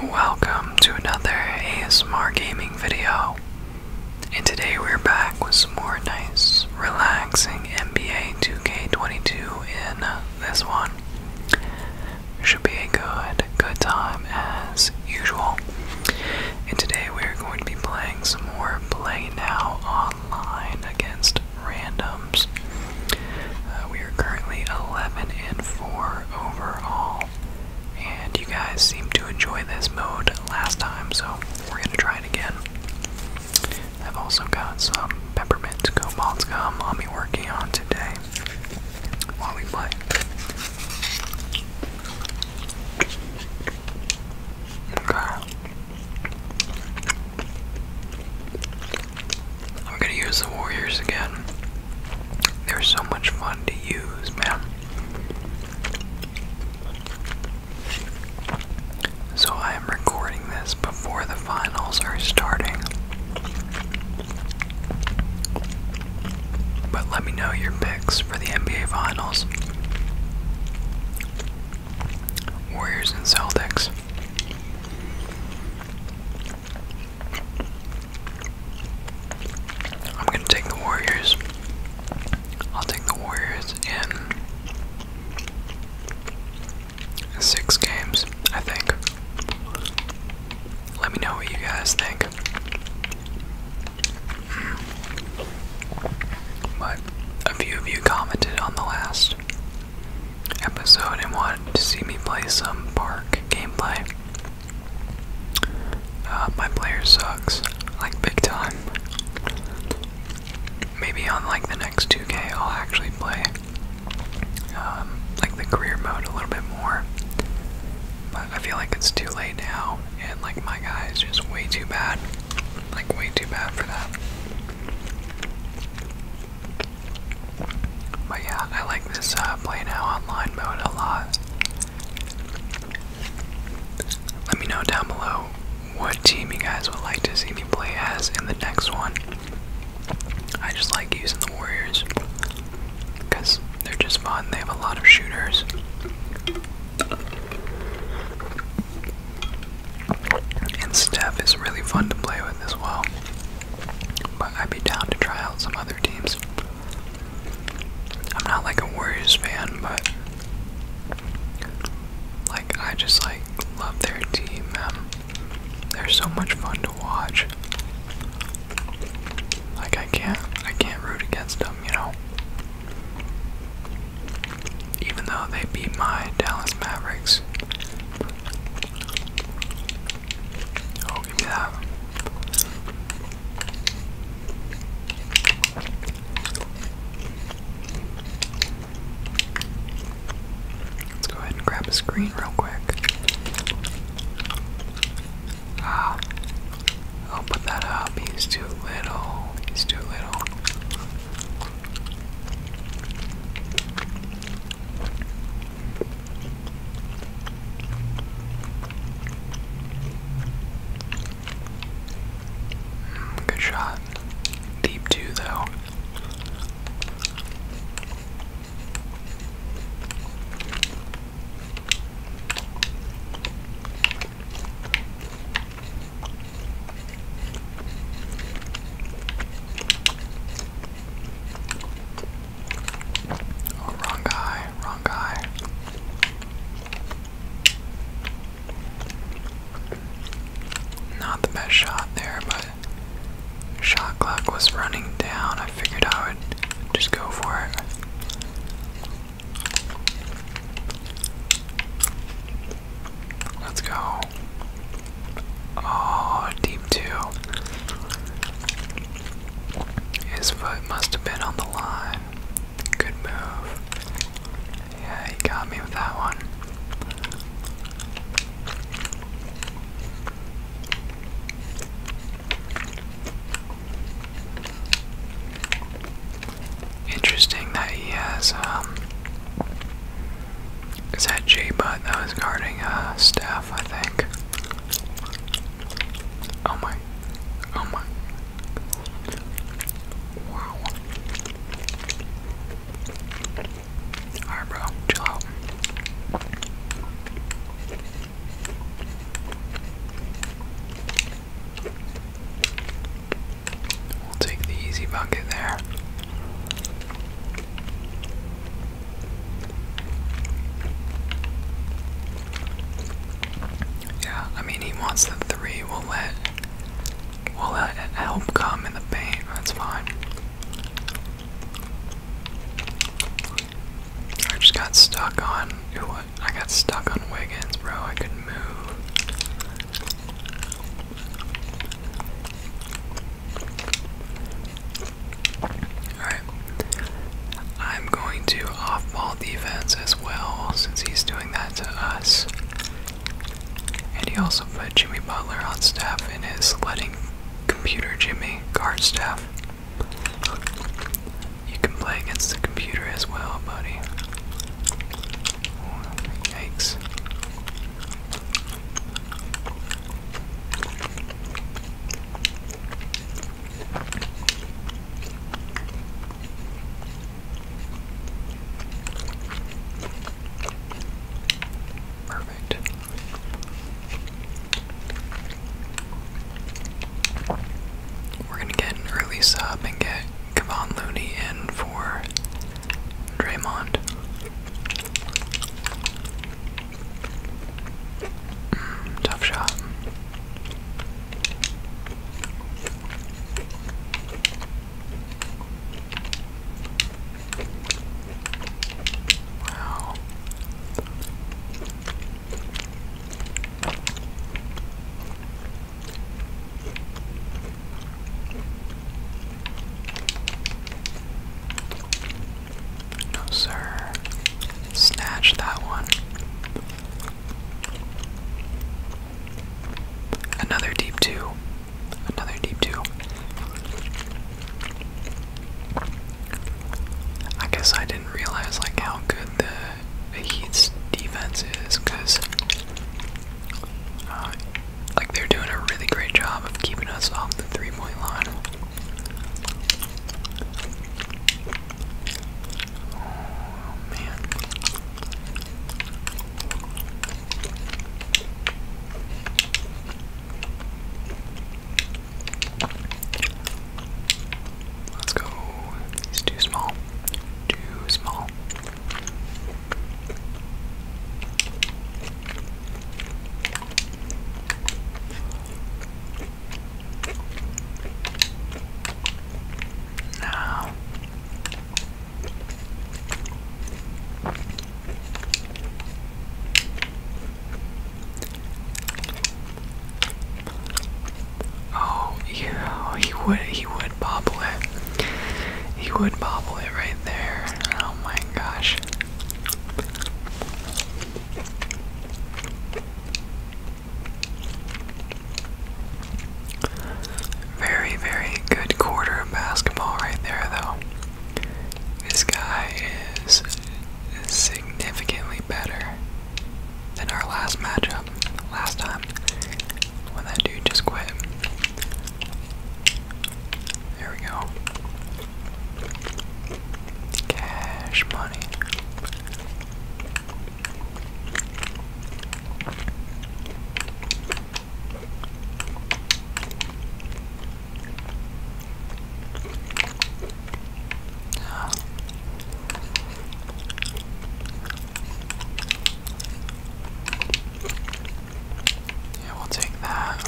Welcome to another ASMR gaming video. And today we're back with some more nice, relaxing NBA 2K22 in this one. Should be a good, good time as usual. And today we're going to be playing some more Play Now Online against random uh, we are currently 11 and 4 overall, and you guys seem to enjoy this mode last time, so we're gonna try it again. I've also got some peppermint cobalt gum I'll be working on today while we play. We're gonna use the Warriors again. They're so much fun to use, man. So I am recording this before the finals are starting. But let me know your picks for the NBA finals. Warriors and Celtics. I'm gonna take the Warriors. I'll take the Warriors in six games, I think. Let me know what you guys think. But a few of you commented on the last episode and wanted to see me play some park gameplay. Uh, my player sucks, like big time. Maybe on like the next 2K, I'll actually play um, like the career mode a little bit more. But I feel like it's too late now, and like my guy is just way too bad. Like, way too bad for that. But yeah, I like this uh, play now online mode a lot. Let me know down below what team you guys would like to see me play as in the next one. I just like using the Warriors because they're just fun, they have a lot of shooters. And Steph is really fun to play with as well. But I'd be down to try out some other teams. I'm not like a Warriors fan, but like I just like love their team. Um, they're so much fun to watch. Like I can't, I can't root against them, you know. Even though they beat my Dallas Mavericks. Let's go ahead and grab a screen real quick. Ah, I'll put that up. He's too little. He's too little. Good shot. Deep two, though. Oh, wrong guy, wrong guy. Not the best shot there, but shot clock was running down. I figured I would just go for it. Let's go. Oh, deep two. His foot must have been on the line. Good move. Yeah, he got me with that one. Interesting that he has, um, is that J-Butt that was guarding, uh, Staff, I think. Oh my. Oh my. Wow. Alright, bro. Chill out. We'll take the easy bucket there. Yeah, I mean he wants the three. We'll let we'll let help come in the paint. That's fine. I just got stuck on. What? I got stuck on Wiggins, bro. I couldn't move. Alright. I'm going to off ball defense as well, since he's doing that to us. And he also put Jimmy Butler on staff in his letting computer Jimmy guard staff. You can play against the computer as well, buddy. Yikes. Perfect. We're gonna get an early sub and get Kevon Looney in for Draymond. Mm, tough shot. Wow. No, sir. Snatch that one. Another deep two. Another deep two. I guess I didn't realize like how good the, Heat's defense is, cause uh, like they're doing a really great job of keeping us off the three-point line. Let's go. He's too small. Too small. Now, oh yeah, he would he would bobble it. He would bobble it right there. Oh my gosh. Very, very good quarter basketball right there, though. This guy is significantly better than our last matchup last time when that dude just quit. There we go. Cash money. Yeah, we'll take that.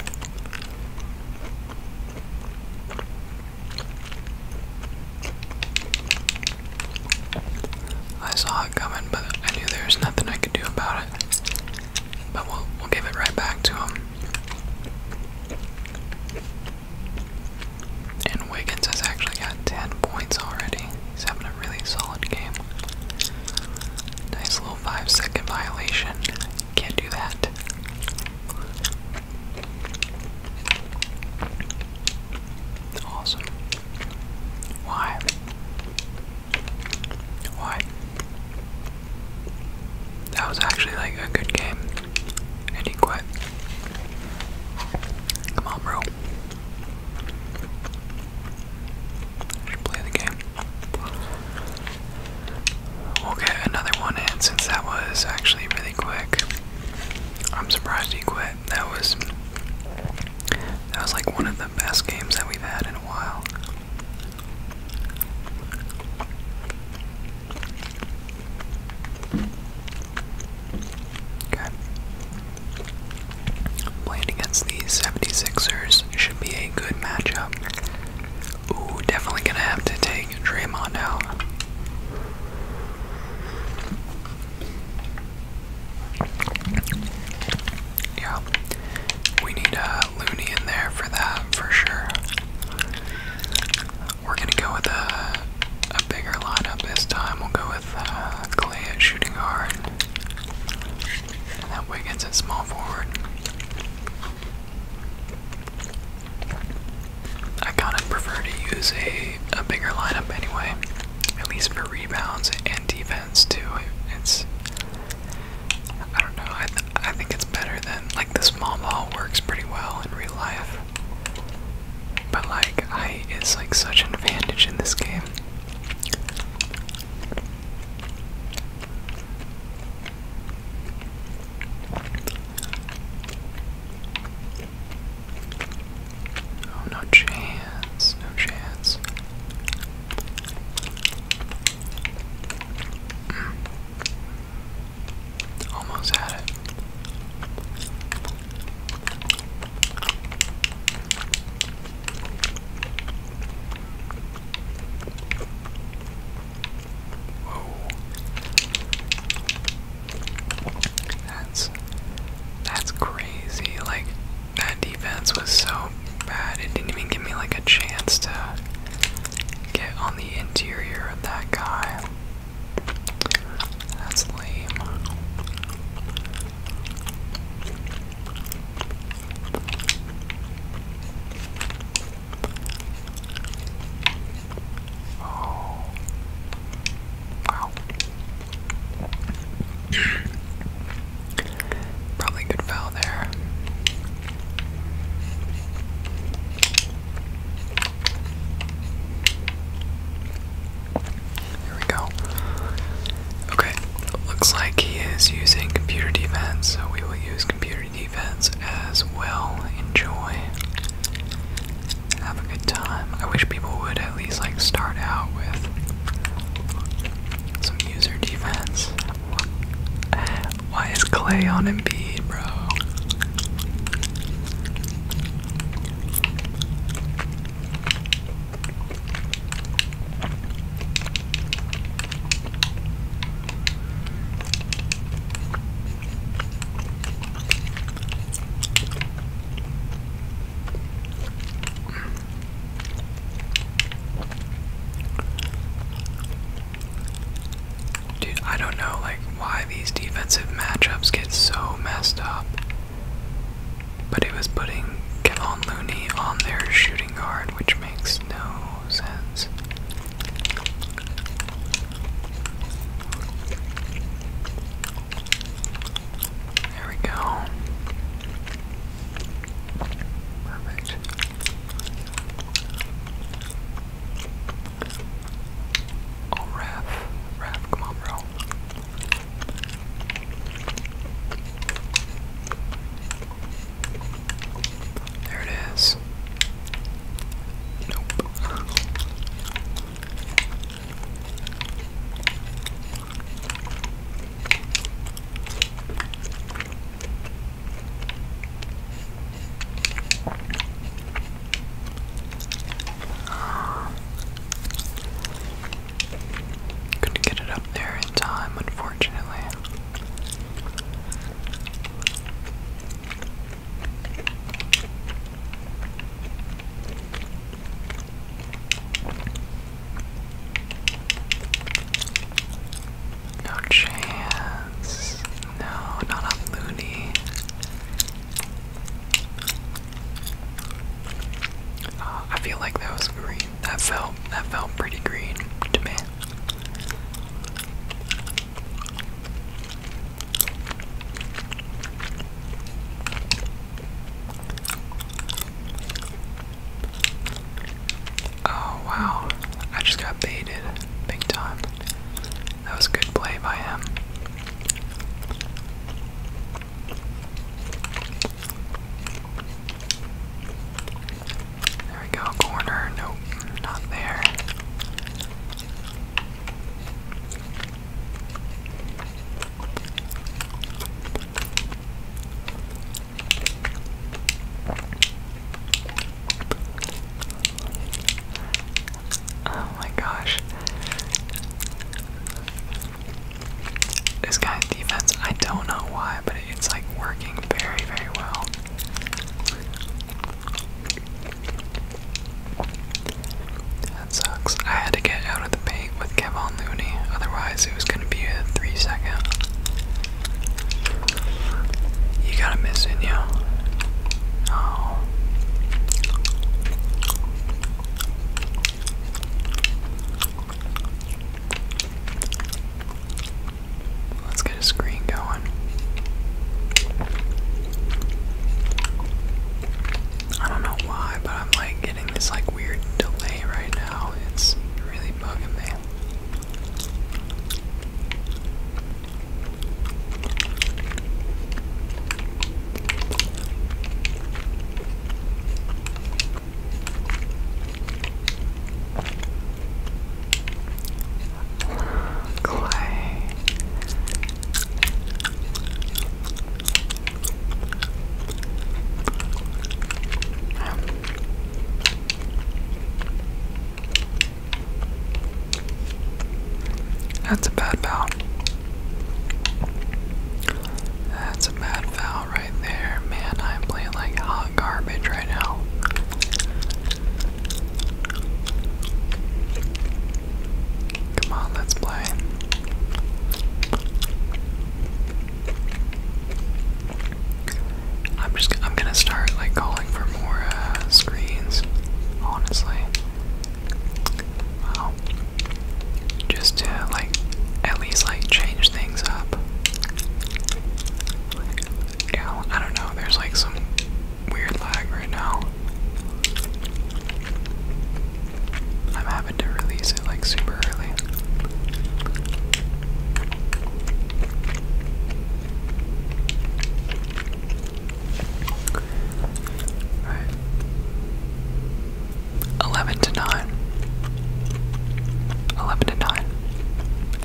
I saw it coming, but I knew there was nothing I could do about it. But we'll, we'll give it right back to him. And Wiggins has actually got 10 points already. He's having a really solid game. Nice little 5 second violation. Can't do that. Awesome. Why? Why? That was actually like a good game. And he Come on, bro. should play the game. We'll get another one in since that was actually really quick. I'm surprised he quit. That was that was like one of the best games that we've had in a while. Playing against the 76ers should be a good matchup. Ooh, definitely gonna have to take Draymond out. Yeah, we need a uh, loony in there for that for sure. We're gonna go with a, a bigger lineup this time. We'll go with uh, Clay at shooting guard, and that Wiggins at small forward. I kind of prefer to use a, a bigger lineup anyway, at least for rebounds and defense too. It's I don't know. I I think it's better than like the small ball works pretty well in real life, but like height is like such an advantage in this game. Oh, no chance, no chance. Hmm. Almost had it. Whoa. That's that's crazy. Like that defense was so bad. It didn't even give me like a chance to get on the interior of that guy. That's lame. Oh. Probably good foul there. Here we go. Okay, looks like he is using computer defense, so we will use computer defense as well. Enjoy. Have a good time. I wish people would at least like start out with some user defense. Why is Clay on Embiid, bro? Dude, I don't know like why these defensive matchups get so messed up. But it was putting Kevin Looney on their shooting guard, which makes no sense. There we go. Perfect. Oh, Raph. Raph, come on, bro. There it is. Nope. Couldn't get it up there in time, unfortunately. No chance. No, not on Looney. Uh, I feel like that was green. That felt that felt pretty green to me. Oh wow, I just got baited big time. That was good play by him. There we go, corner. Nope, not there. Oh my gosh. This guy's defense, I don't know why, but it's like working very, very well. That sucks. I had to get out of the paint with Kevon Looney, otherwise it was gonna be a three second. You got to miss in you. Oh. Let's get a screen going. I don't know why, but I'm like getting this like weird delay right now. It's really bugging me that's a bad foul. That's a bad foul right there. Man, I'm playing like hot garbage right now. Come on, let's play. I'm just I'm gonna start like calling for more uh, screens, honestly. Wow. Just to like at least like change things up. Yeah, I don't know. There's like some weird lag right now. I'm having to release it like super early. 11 to 9. 11 to 9.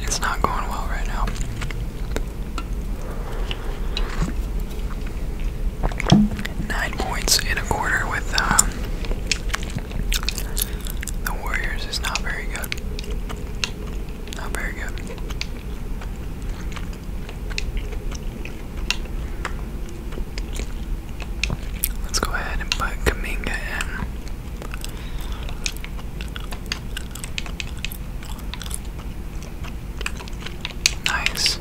It's not going well right now. Nine points and a quarter with um, the Warriors is not very good. Not very good. Let's go ahead and put Kaminga in. Nice.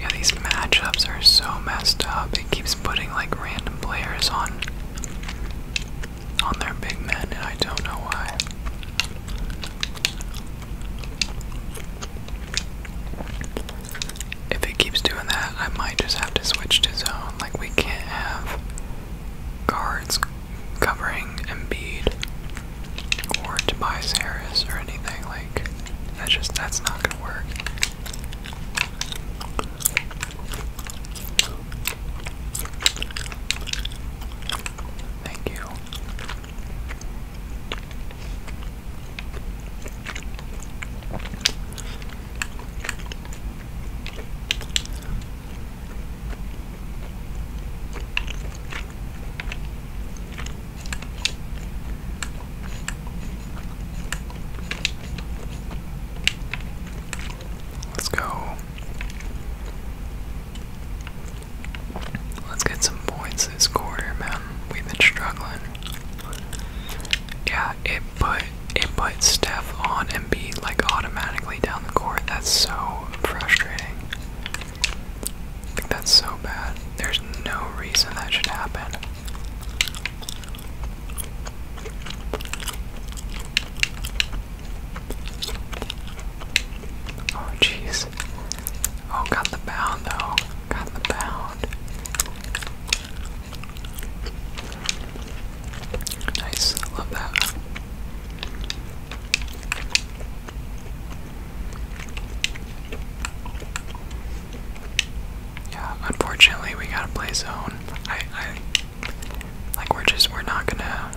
Yeah, these matchups are so messed up. It keeps putting like random players on on their big men, and I don't know why. If it keeps doing that, I might just have to switch to zone. Like we can't have guards covering Embiid or Tobias Harris or anything. Like, that's just, that's not gonna work. Thank you. Let's go. Let's get some points this quarter, man. We've been struggling. Yeah, it put it put Steph on Embiid like automatically down the court. That's so frustrating. I think that's so bad. There's no reason that should happen. Oh jeez. Oh, got the bound though. Got the bound. Nice. Love that. Yeah, unfortunately we gotta play zone. I I like we're just we're not gonna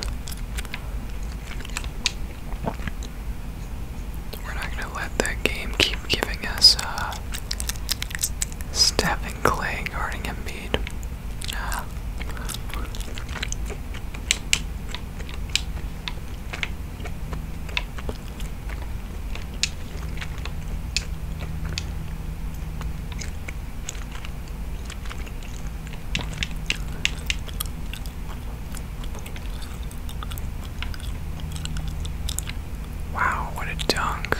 we're not gonna let the game keep giving us uh Stephen Clay guarding Embiid. Uh, Wow, what a dunk.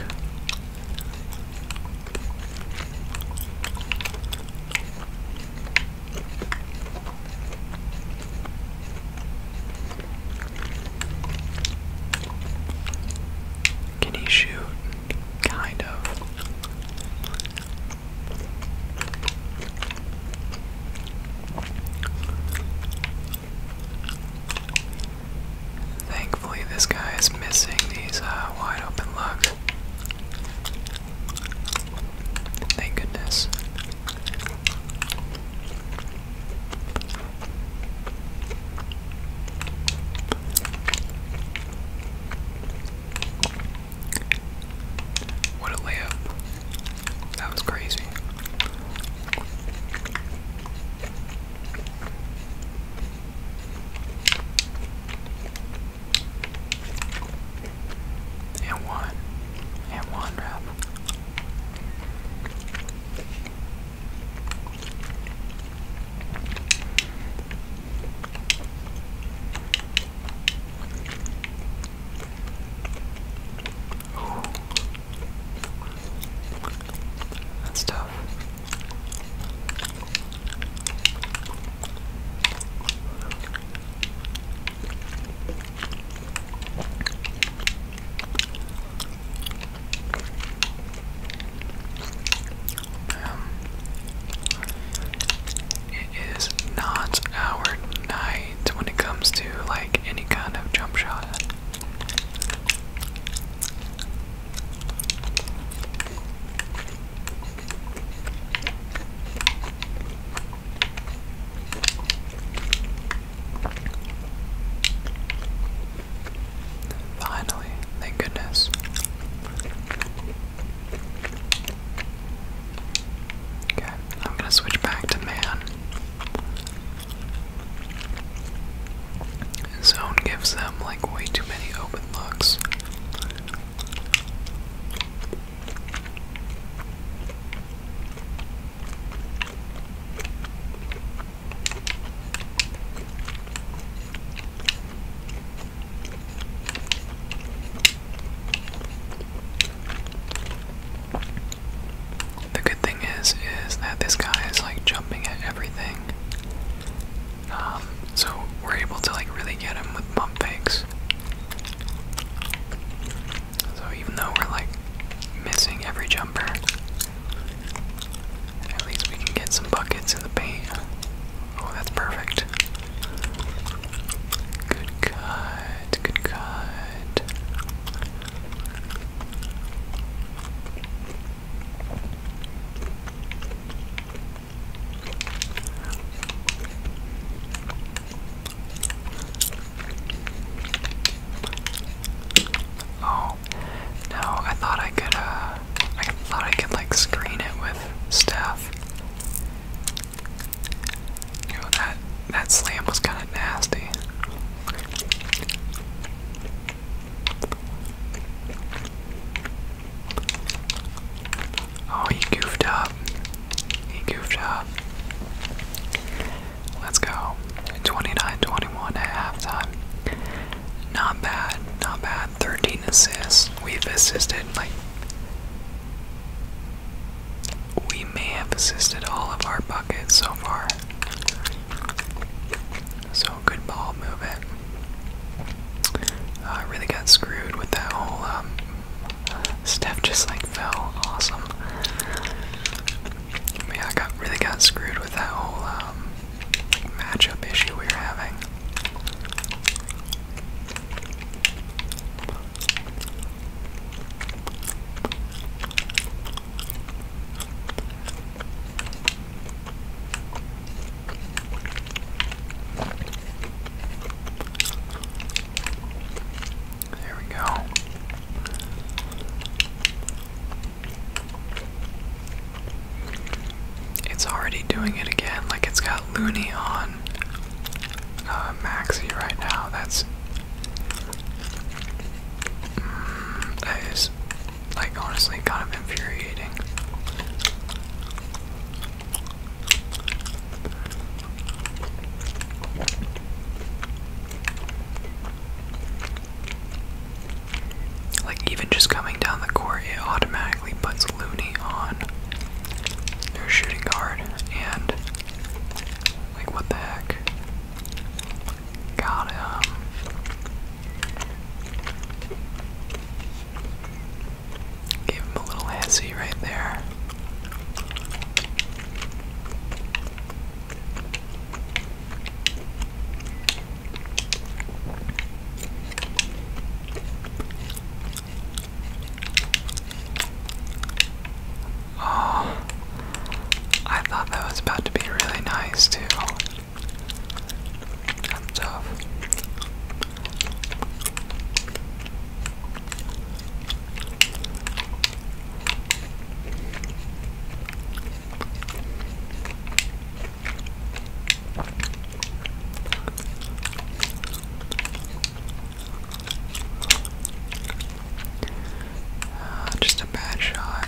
Can he shoot? Kind of. Thankfully, this guy is missing these uh, wide open looks. Thank goodness. What a layup. That was crazy. And one. And one wrap. Ooh. That's tough. Um, it is not our night when it comes to like any kind of jump shot. Finally, thank goodness. Okay, I'm gonna switch back to man. Zone gives them like way too many open looks. The good thing is, is that this guy is like jumping at everything. Um, so we're able to like really get him with bump fakes. So even though we're like missing every jumper, at least we can get some buckets in the paint. Oh, that's perfect. Good cut, good cut. Oh, no, I thought I could, uh, I thought I could, like, screen it with stuff. You know, that, that slam was kind of nasty. Oh, he goofed up. He goofed up. Let's go. 29 21 at halftime. Not bad. Not bad. 13 assists. We've assisted, like, we may have assisted all of our buckets so far. So, good ball movement. I uh, really got screwed with that whole um, Steph just like fell awesome. yeah, I got really got screwed with that whole um, matchup issue we were having. There we go. It's already doing it again, like it's got Loony on uh, Maxi right now. That's. Mm, that is, like, honestly kind of infuriating. Like, even just coming down the court, it automatically puts Looney on their shooting guard, and like, what the heck? Got him. Give him a little hezzy right there. Oh, I thought that was about to be really nice, too. tough. Uh, just a bad shot.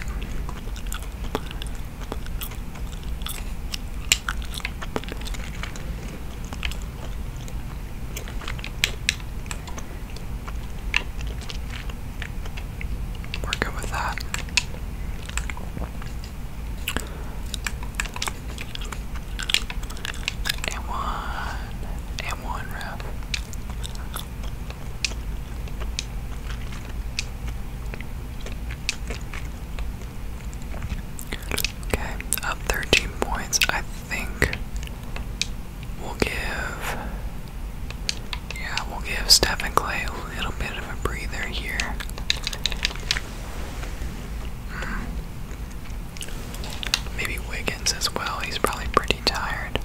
We're good with that. And one, and one rep. Okay, up 13 points. I think we'll give. Yeah, we'll give Stephen Clay a little bit of a breather here. Hmm. Maybe Wiggins as well. He's probably pretty tired.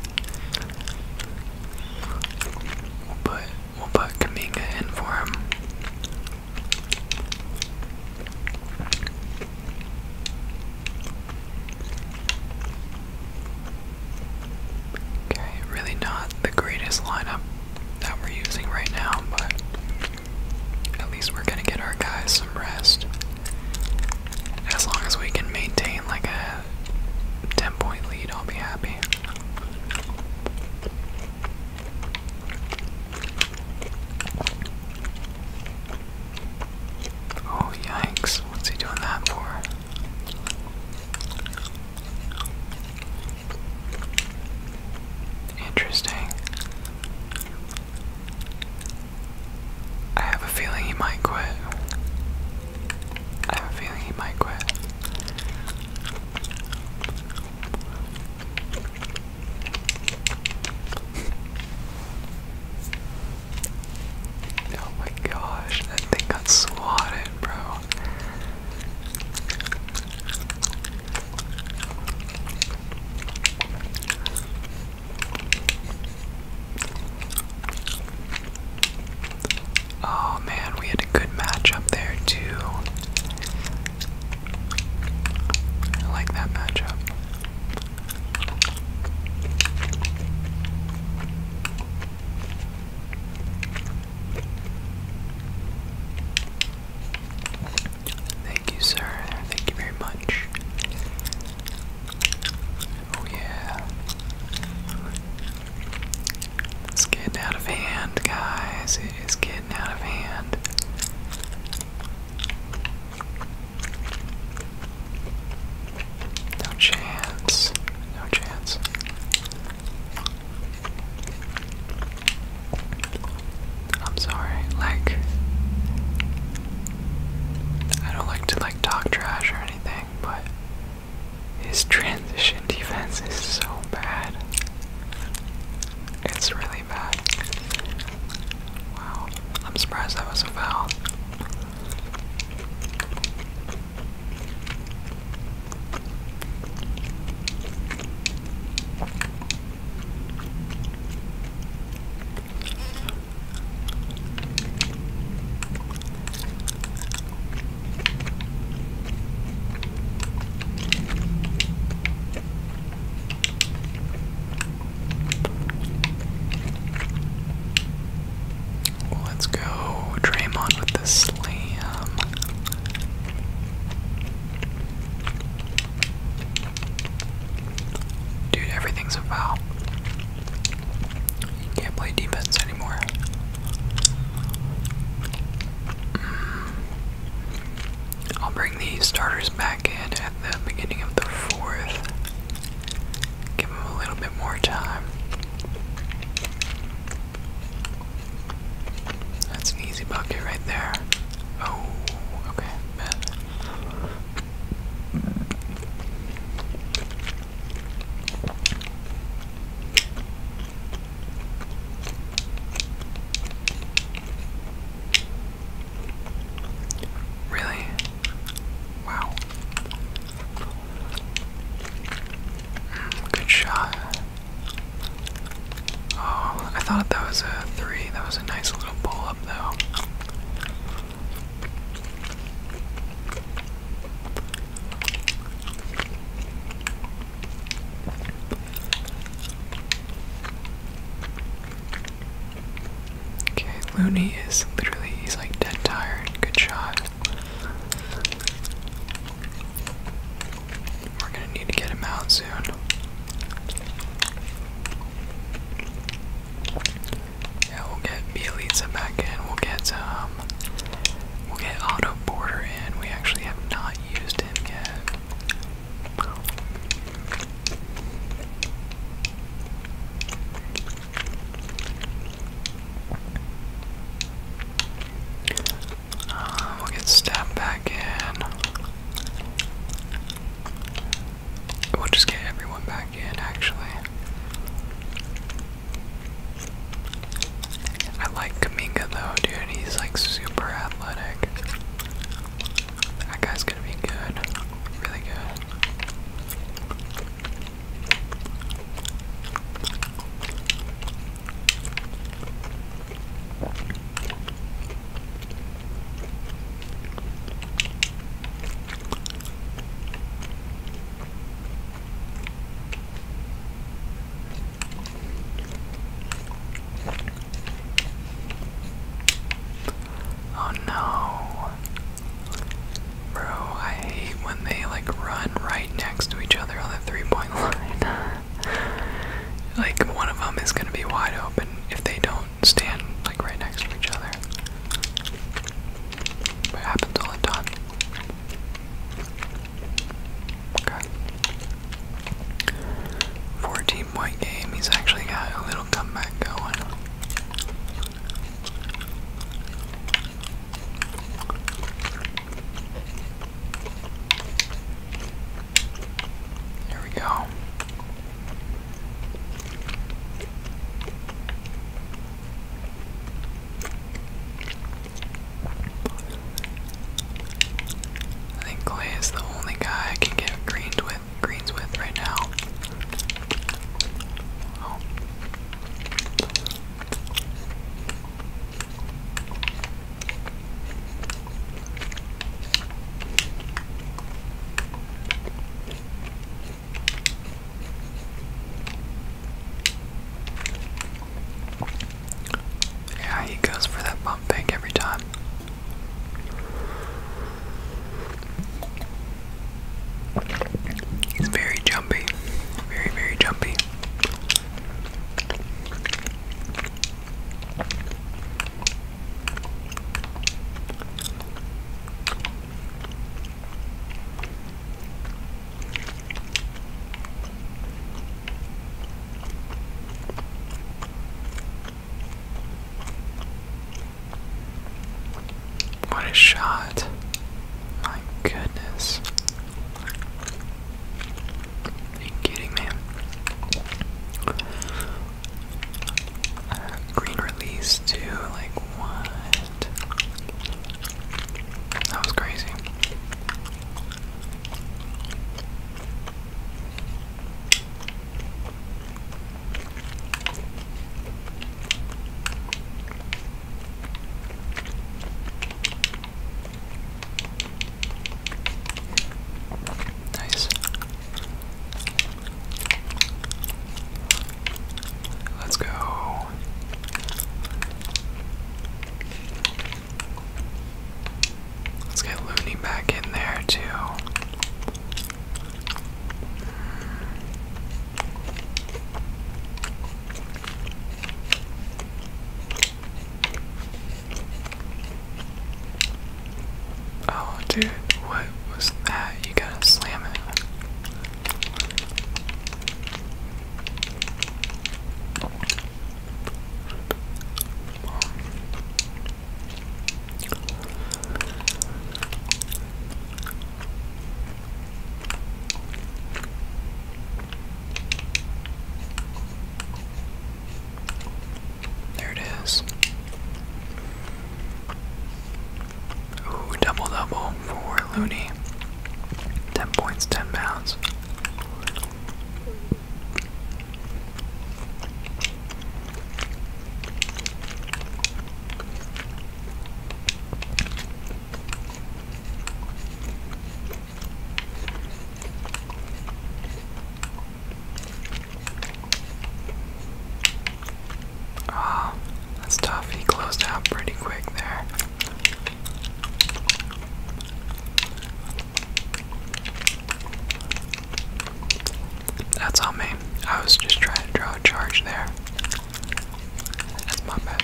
We'll put we'll put Kaminga in for him. Okay, really not the greatest lineup that we're using right now, but at least we're gonna get our guys some rest. As long as we can maintain like a 10 point lead, I'll be happy. Oh, yikes. What's he doing that for? Interesting. I have a feeling he might quit. I have a feeling he might quit. Oh my gosh, that thing got swatted, bro. Oh man, we had a good match up there too. I like that matchup. Thank you, sir. Thank you very much. Oh, yeah. It's getting out of hand, guys. It is getting out of hand. No chance. No chance. I'm sorry, like I don't like to like talk trash or anything, but his transition defense is so bad. It's really Wow. I'm surprised that was a foul. Let's go Draymond with the slam. Dude, everything's a foul. You can't play defense anymore. Mm. I'll bring these starters back at the beginning of the fourth. Give him a little bit more time. That's an easy bucket right there. Oh, okay, bet. Really? Wow. Mm, good shot. Oh, I thought that was a three. That was a nice little pull up, though. Okay, Looney is literally, he's like dead tired. Good shot. We're gonna need to get him out soon. Yeah, we'll get Bielitsa back in. We'll get, um, we'll get Auto Border in. We actually have not used him yet. Uh, we'll get stabbed back in. We'll just get everyone back in, actually. I like Kaminga though, dude. He's like super athletic. That guy's gonna be good. Really good. Oh no. Bro, I hate when they like run right next to each other on the three point line. like, one of them is gonna be wide open if they don't stand like right next to each other. it happens all the time. Okay. 14 8 game. He's actually got a little comeback going. There we go. I think Clay is the only guy I can get greened with greens with right now. Oh. Yeah, he goes for that bump every time. He's very jumpy, very, very jumpy. What a shot. My goodness. Are you kidding me? green release too, like what? That was crazy. Nice. Let's go. Let's get Looney back in there, too. Oh, dude, what was that? You gotta slam it. There it is. Ooh, double double for Looney. 10 points, 10 pounds oh, that's tough. He closed out pretty quick there. That's on me. I was just trying to draw a charge there. That's my bad.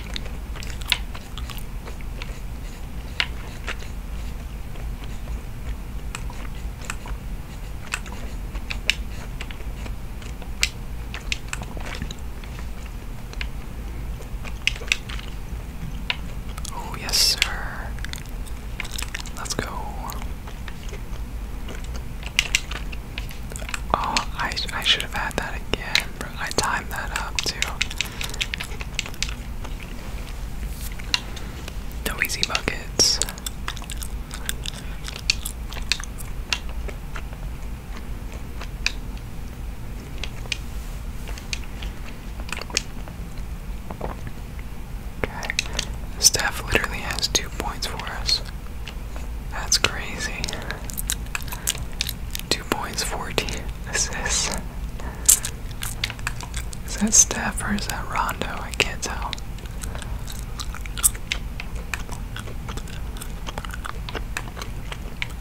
Oh, yes, sir. Let's go. Oh, I, I should have had that again, I timed that up too. No easy buckets. Okay. Steph literally has two points for us. That's crazy. Two points, 14 assists. Is that Steph or is that Rondo? I can't tell.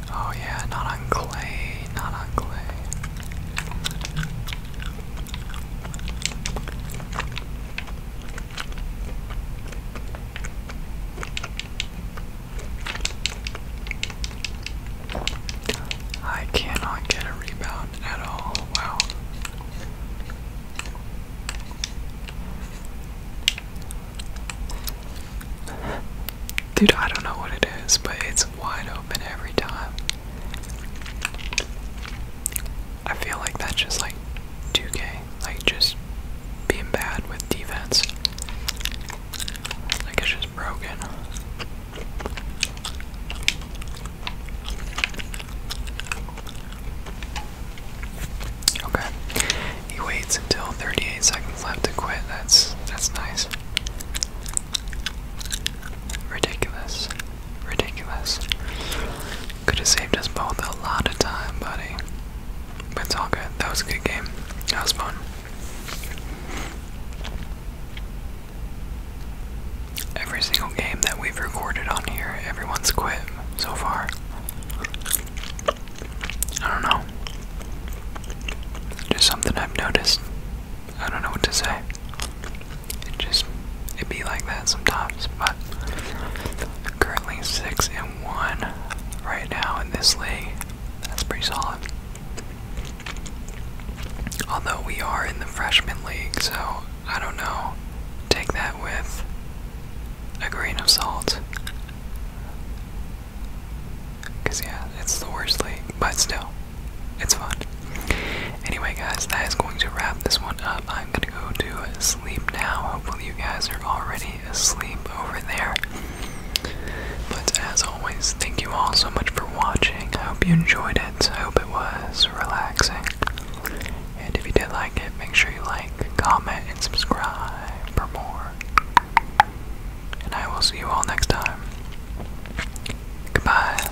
Oh, yeah, not on clay, not on clay. I cannot get a rebound at all. Wow. Dude, I don't know what it is, but it's wide open every time. I feel like that's just like 2K, like just being bad with defense. Like it's just broken. Okay. He waits until 38 seconds left to quit. That's that's nice. Ridiculous ridiculous. Could have saved us both a lot of time, buddy. But it's all good. That was a good game. That was fun. Every single game that we've recorded on here, everyone's quit so far. I don't know. Just something I've noticed. I don't know what to say. It just it be like that sometimes. But currently six and one right now in this league. That's pretty solid. Although we are in the freshman league, so I don't know. Take that with a grain of salt. Because, yeah, it's the worst league, but still, it's fun. Anyway, guys, that is going to wrap this one up. I'm gonna go to sleep now. Hopefully, you guys are already asleep over there. But as always, thank you all so much for watching. I hope you enjoyed it. I hope it was relaxing. And if you did like it, make sure you like, comment, and subscribe for more. And I will see you all next time. Goodbye.